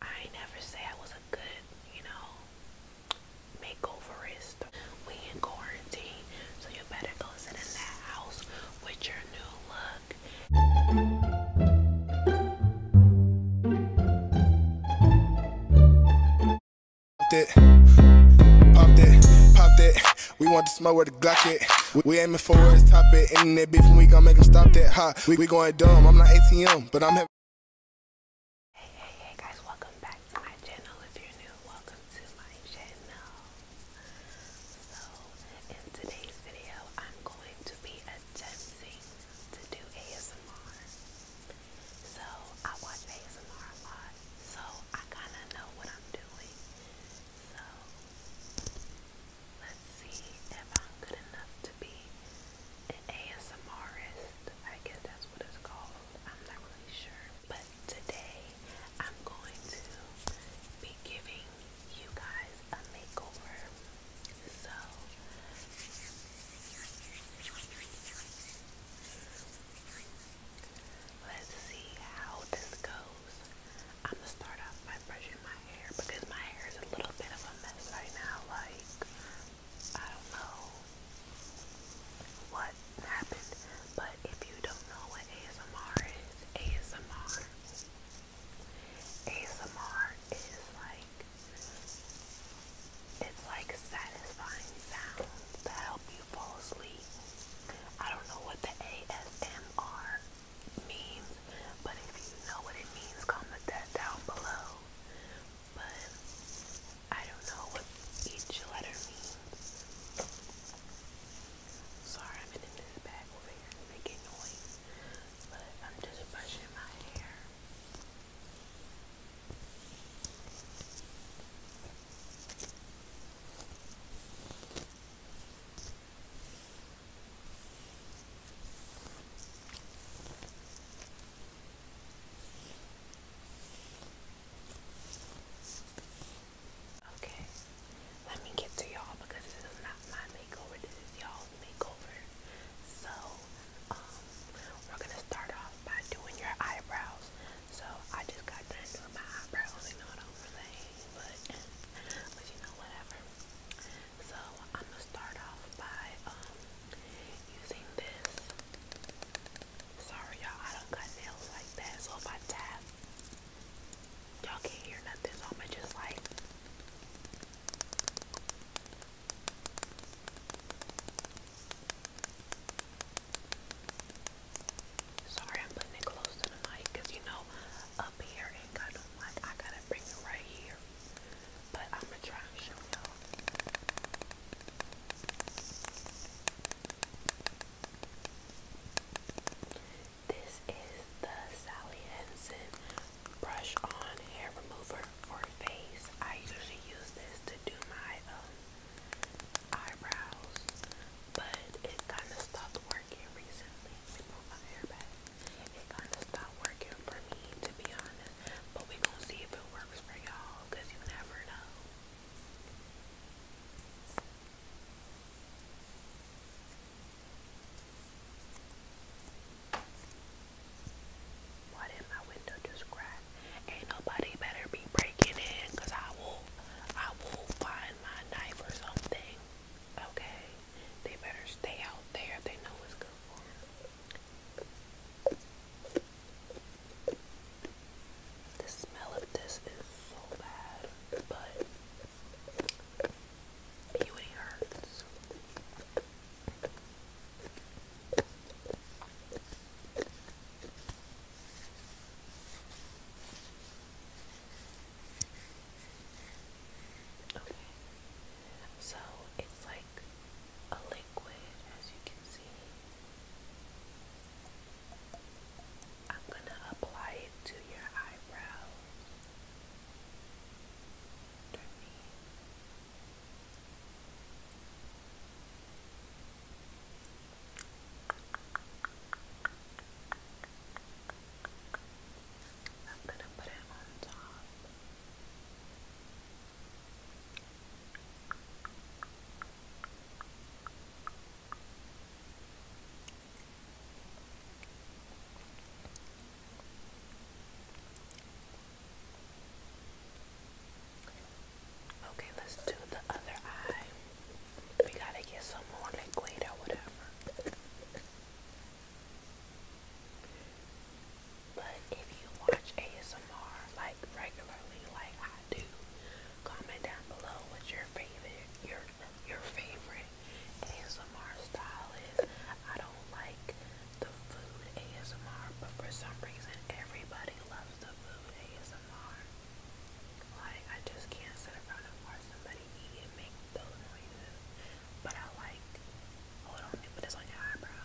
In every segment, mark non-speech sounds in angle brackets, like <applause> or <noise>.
I never say I was a good, you know, makeoverist. We in quarantine, so you better go sit in that house with your new look. Popped it, popped it, popped it. We want the smoke with the Glock it. We, we aiming for where top it. Internet beef and we gon' make them stop that hot. We, we going dumb. I'm not ATM, but I'm. Hey, hey, hey guys, welcome back to my channel. If you're new, welcome to my channel. So, in today's video, I'm going to be attempting to do ASMR. So, I watch ASMR a lot, so I kind of know what I'm doing. So, let's see if I'm good enough to be an ASMRist. I guess that's what it's called. I'm not really sure. But today I'm going to be giving you guys a makeover. So let's see how this goes. I'm gonna start off by brushing my hair because my hair is a little bit of a mess right now. Like I don't know what happened, but if you don't know what ASMR is, ASMR, ASMR is like, it's like satisfying sounds that help you fall asleep. I don't know what the ASMR means, but if you know what it means, comment that down below but I don't know what each letter means. Sorry, I'm in this bag over here to noise, but I'm just brushing my hair. Okay, let me get to y'all because this is not my makeover, this is y'all's makeover. So, um, we're gonna start off by doing your eyebrows. So, I just got done doing my eyebrows, you know what I'm But, but you know, whatever. So I'm gonna start off by um using this. Sorry y'all, I don't cut nails like that. So if I tap, y'all can't hear nothing. So i am just like Sorry, I'm putting it close to the mic because you know up here ain't kind of like I gotta bring it right here. But I'm gonna try and show y'all. This is the Sally Henson brush on hair remover for face. I usually use this to do my um, eyebrows, but it kind of stopped working recently. my hair back. It kind of stopped working for me, to be honest. But we gonna see if it works for y'all, you never know. Why did my window just crack? Ain't nobody better be breaking in, I will, I will find my knife or something. Okay, they better stay out there if they know what's good for them. The smell of this is so bad, but beauty hurts. Okay, so it's like a liquid, as you can see. I'm going to apply it to your eyebrows. Turn me. I'm going to put it on top. Okay, let's do the other eye. We gotta get some more liquid or whatever. But if you watch ASMR like regularly, like I do, comment down below what your favorite your your favorite ASMR style is. I don't like the food ASMR, but for some reason everybody loves the food ASMR. Like I just can't sit around and watch somebody eat and make those noises. But I like hold on, you put this on your eyebrow.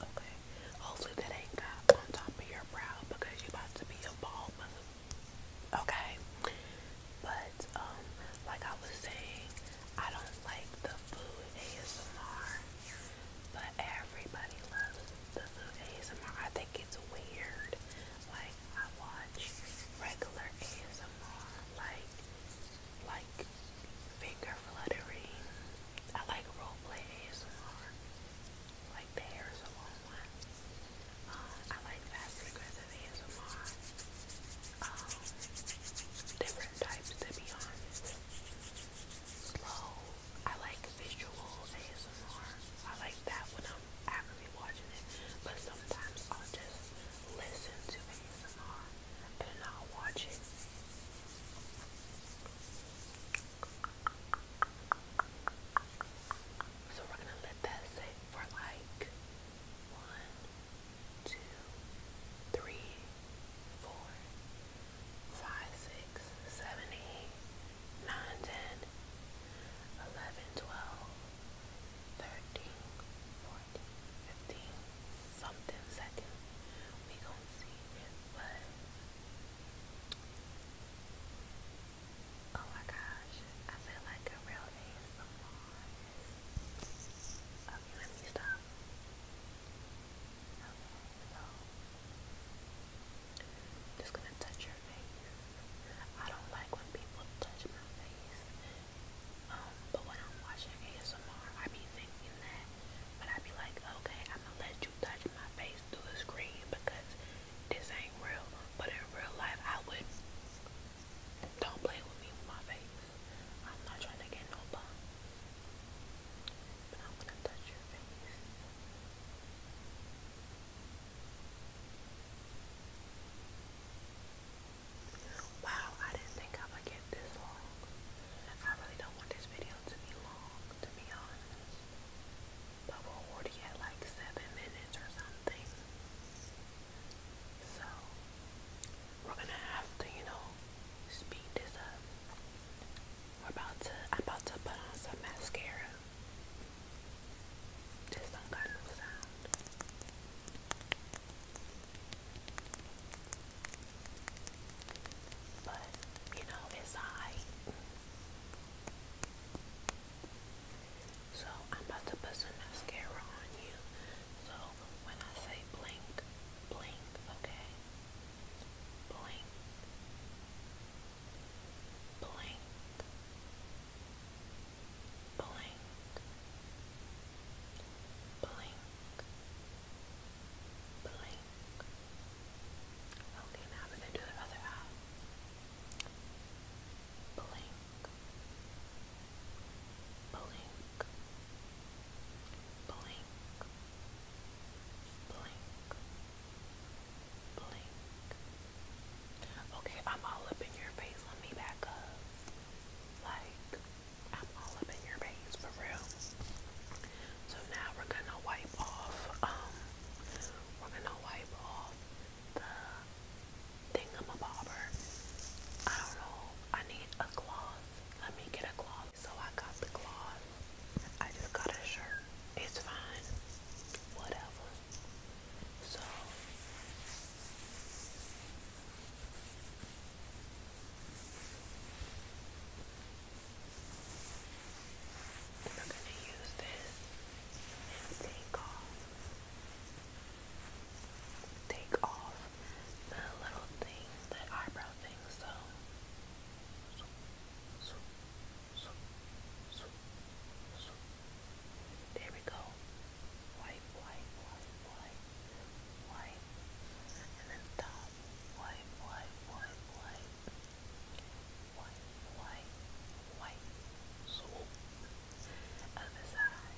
Okay. Hopefully that ain't got on top of your brow because you about to be a bald Okay. But um, like I was saying, I don't like the food ASMR, but everybody loves the food ASMR. I think it's weird. Like I watch regular ASMR, like like finger fluttering I like roleplay ASMR, like the hair salon one. Um, I like fast aggressive ASMR. Um, different types to be honest. Slow. I like visual ASMR. I like that when I'm actively watching it. But sometimes I'll just listen to ASMR and I'll watch it. So we're gonna let that sit for like one, two, three, four, five, six, seven, eight, nine, ten, eleven, twelve, thirteen, fourteen, fifteen, something second. We gonna see if oh my gosh, I feel like a real ASMR. Okay, let me stop. just gonna touch your face. I don't like when people touch my face. Um, but when I'm watching ASMR, I be thinking but I'd be like, okay, I'm gonna let you touch my face through the screen because this ain't real. But in real life, I would. Don't play with me with my face. I'm not trying to get no bum. But I'm gonna touch your face. Wow, I didn't think I would get this long. I really don't want this video to be long to be honest. But we already at like seven minutes or something. So we're gonna have to, you know, speed this up. We're about to I'm about to put on some mascara. This don't got no sound. But, you know, it's alright. So, I'm about to put some mascara on you. So, when I say blink, blink, okay? Blink. Blink. Blink. Blink. Blink. Blink. Okay, now we're going to do the other eye. Blink. Blink. Blink. Blink. Blink. Okay, I'm all up in your face. Let me back up. Like, I'm all up in your face for real. So now we're gonna wipe off, um, we're gonna wipe off the thingamabobber. I don't know, I need a cloth. Let me get a cloth. So I got the cloth. I just got a shirt. It's fine. Whatever. So and we're going to use this and take off, take off the little thing, the eyebrow thing. so. there we go. Wipe, wipe, wipe, wipe, wipe, and then stop wipe, wipe, wipe, wipe, wipe, wipe, wipe, so other side,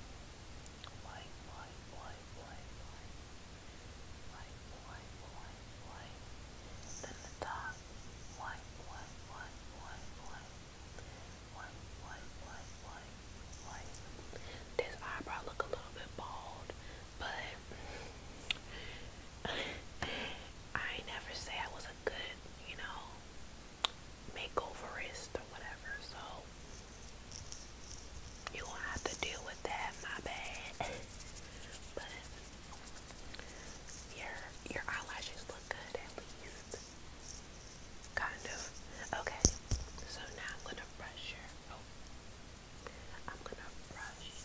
wipe, wipe, wipe, wipe, wipe, wipe, wipe, wipe, wipe, then the top, wipe, wipe, wipe, wipe, wipe, wipe, wipe, wipe, wipe, wipe. This eyebrow look a little bit bald, but I never say I was a good, you know, makeoverist or whatever. So you will have to deal with that. My bad. <laughs> but your your eyelashes look good at least. Kind of. Okay. So now I'm gonna brush your. Oh, I'm gonna brush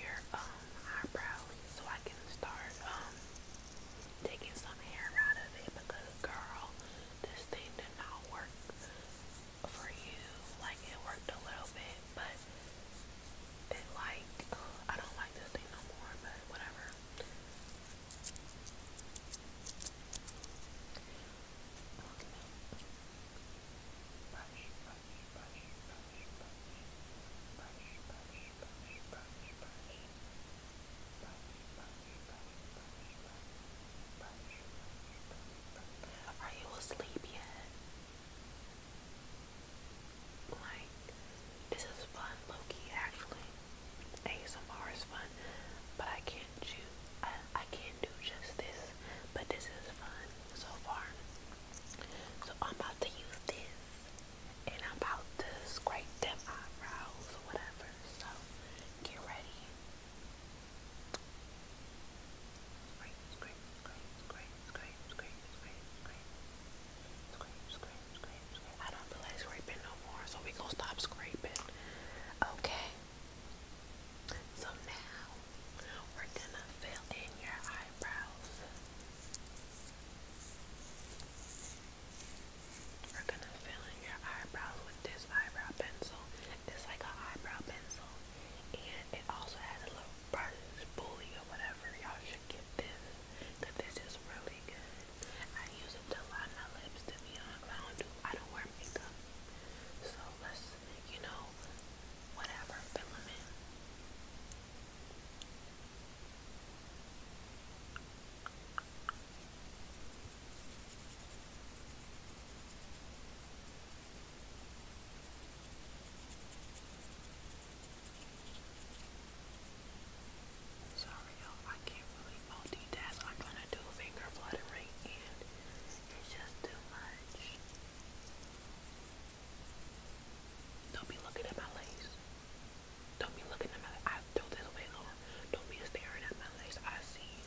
your um eyebrow so I can start um taking some hair out of it because girl, this thing did not work for you. Like it worked a little bit, but it like I don't like this thing no more, but whatever. Okay. brush, are you asleep yet? Like, this is fun, Loki, actually. ASMR is fun, but I can't do, I, I can't do just this but this is fun so far. So I'm about to use this and I'm about to scrape them eyebrows or whatever. So get ready. Scrape, scrape, scrape, scrape, scrape, scrape, scrape, scrape. Scrape, scrape, scrape, I don't feel like scraping no more, so we gonna stop scraping. Okay. So now we're gonna fill in your eyebrows. We're gonna fill in your eyebrows with this eyebrow pencil. It's like an eyebrow pencil, and it also has a little brush bully or whatever. Y'all should get this this is really good. I use it to line my lips. To I don't do I don't wear makeup, so let's you know whatever, fill Sorry y'all, I can't really multitask. I'm trying to do finger fluttering and it's just too much. Don't be looking at my lace. Don't be looking at my eyes. don't this Don't be staring at my lace. I see you.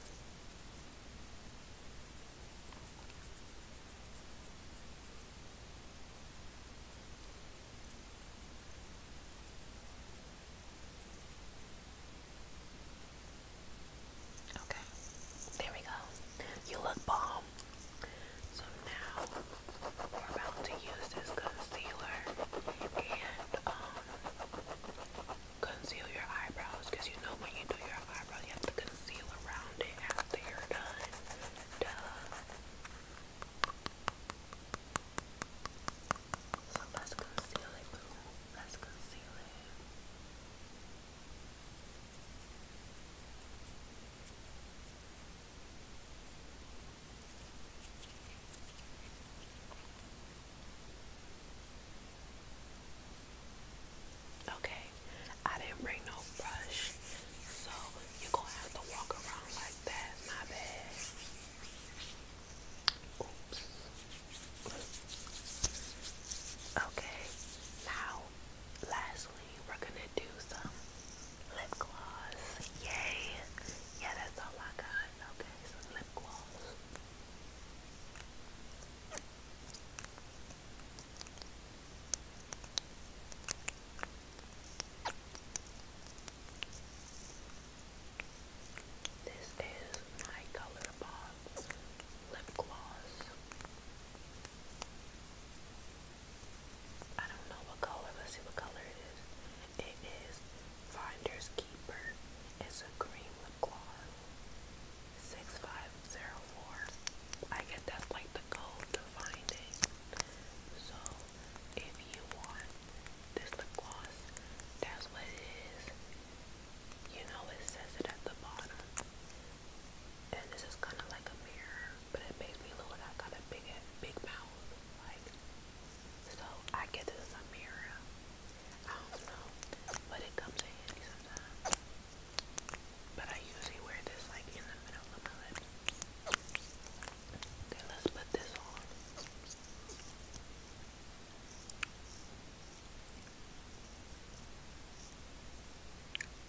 Okay, there we go. You look bomb. So now we're about to use this concealer and um, conceal your eyebrows because you know when you do your eyebrows you have to conceal around it after you're done. let's conceal it, Let's conceal it. Okay, I didn't bring no brush, so you're gonna have to walk around like that. My bad. Oops. Okay, now now, lastly, we're gonna do some lip gloss. Yay! Yeah, that's all I got. Okay, some lip gloss. This is my color bar lip gloss. I don't know what color. Let's see what color it is. It is Finder's Keeper. It's a green lip gloss. 6504. I guess that's like the code to find it. So if you want this lip gloss, that's what it is. You know it says it at the bottom and this is kind of like a mirror, but it makes me look like I got a big, big mouth. Like, so I get this as a mirror. I don't know, but it comes in handy sometimes. But I usually wear this like in the middle of my lips. Okay, let's put this on.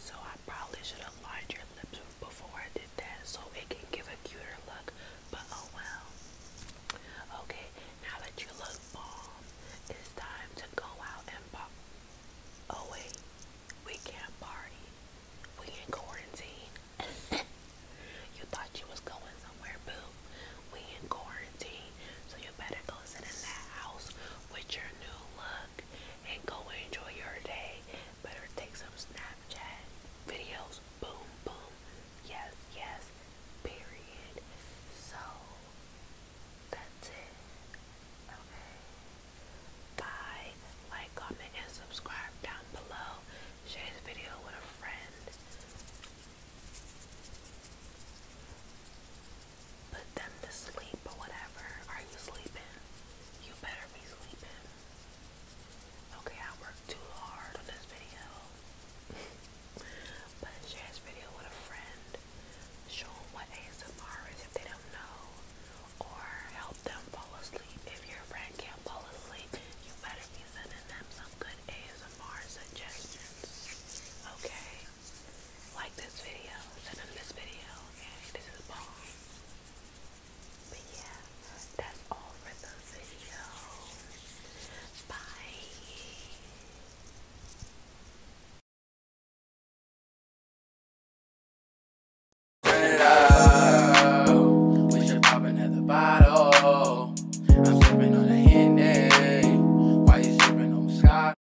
So I probably should have lined your lips before I did that so it can give a cuter look, but oh well. Okay, now that you look bomb, it's time to go out and pop. Oh wait, we can't party. We in quarantine. <laughs> you thought you was going somewhere, boo. We in quarantine, so you better go sit in that house with your new look and go enjoy your day. Better take some Snapchat videos. Boom, boom. Yes, yes. Period. So, that's it. Okay. Bye. Like, comment, and subscribe down below. Share this video with a friend put them to sleep or whatever. Are you sleeping? You better be sleeping. Okay, I worked too hard on this video. <laughs> but share this video with a friend. Show them what ASMR is if they don't know. Or help them fall asleep. If your friend can't fall asleep, you better be sending them some good ASMR suggestions. Okay? like this video, send them this video, okay? This is bomb. But yeah, that's all for the video. Bye. Turn it up. We should pop another bottle. I'm sipping on a Henny. Why you sipping on Scott?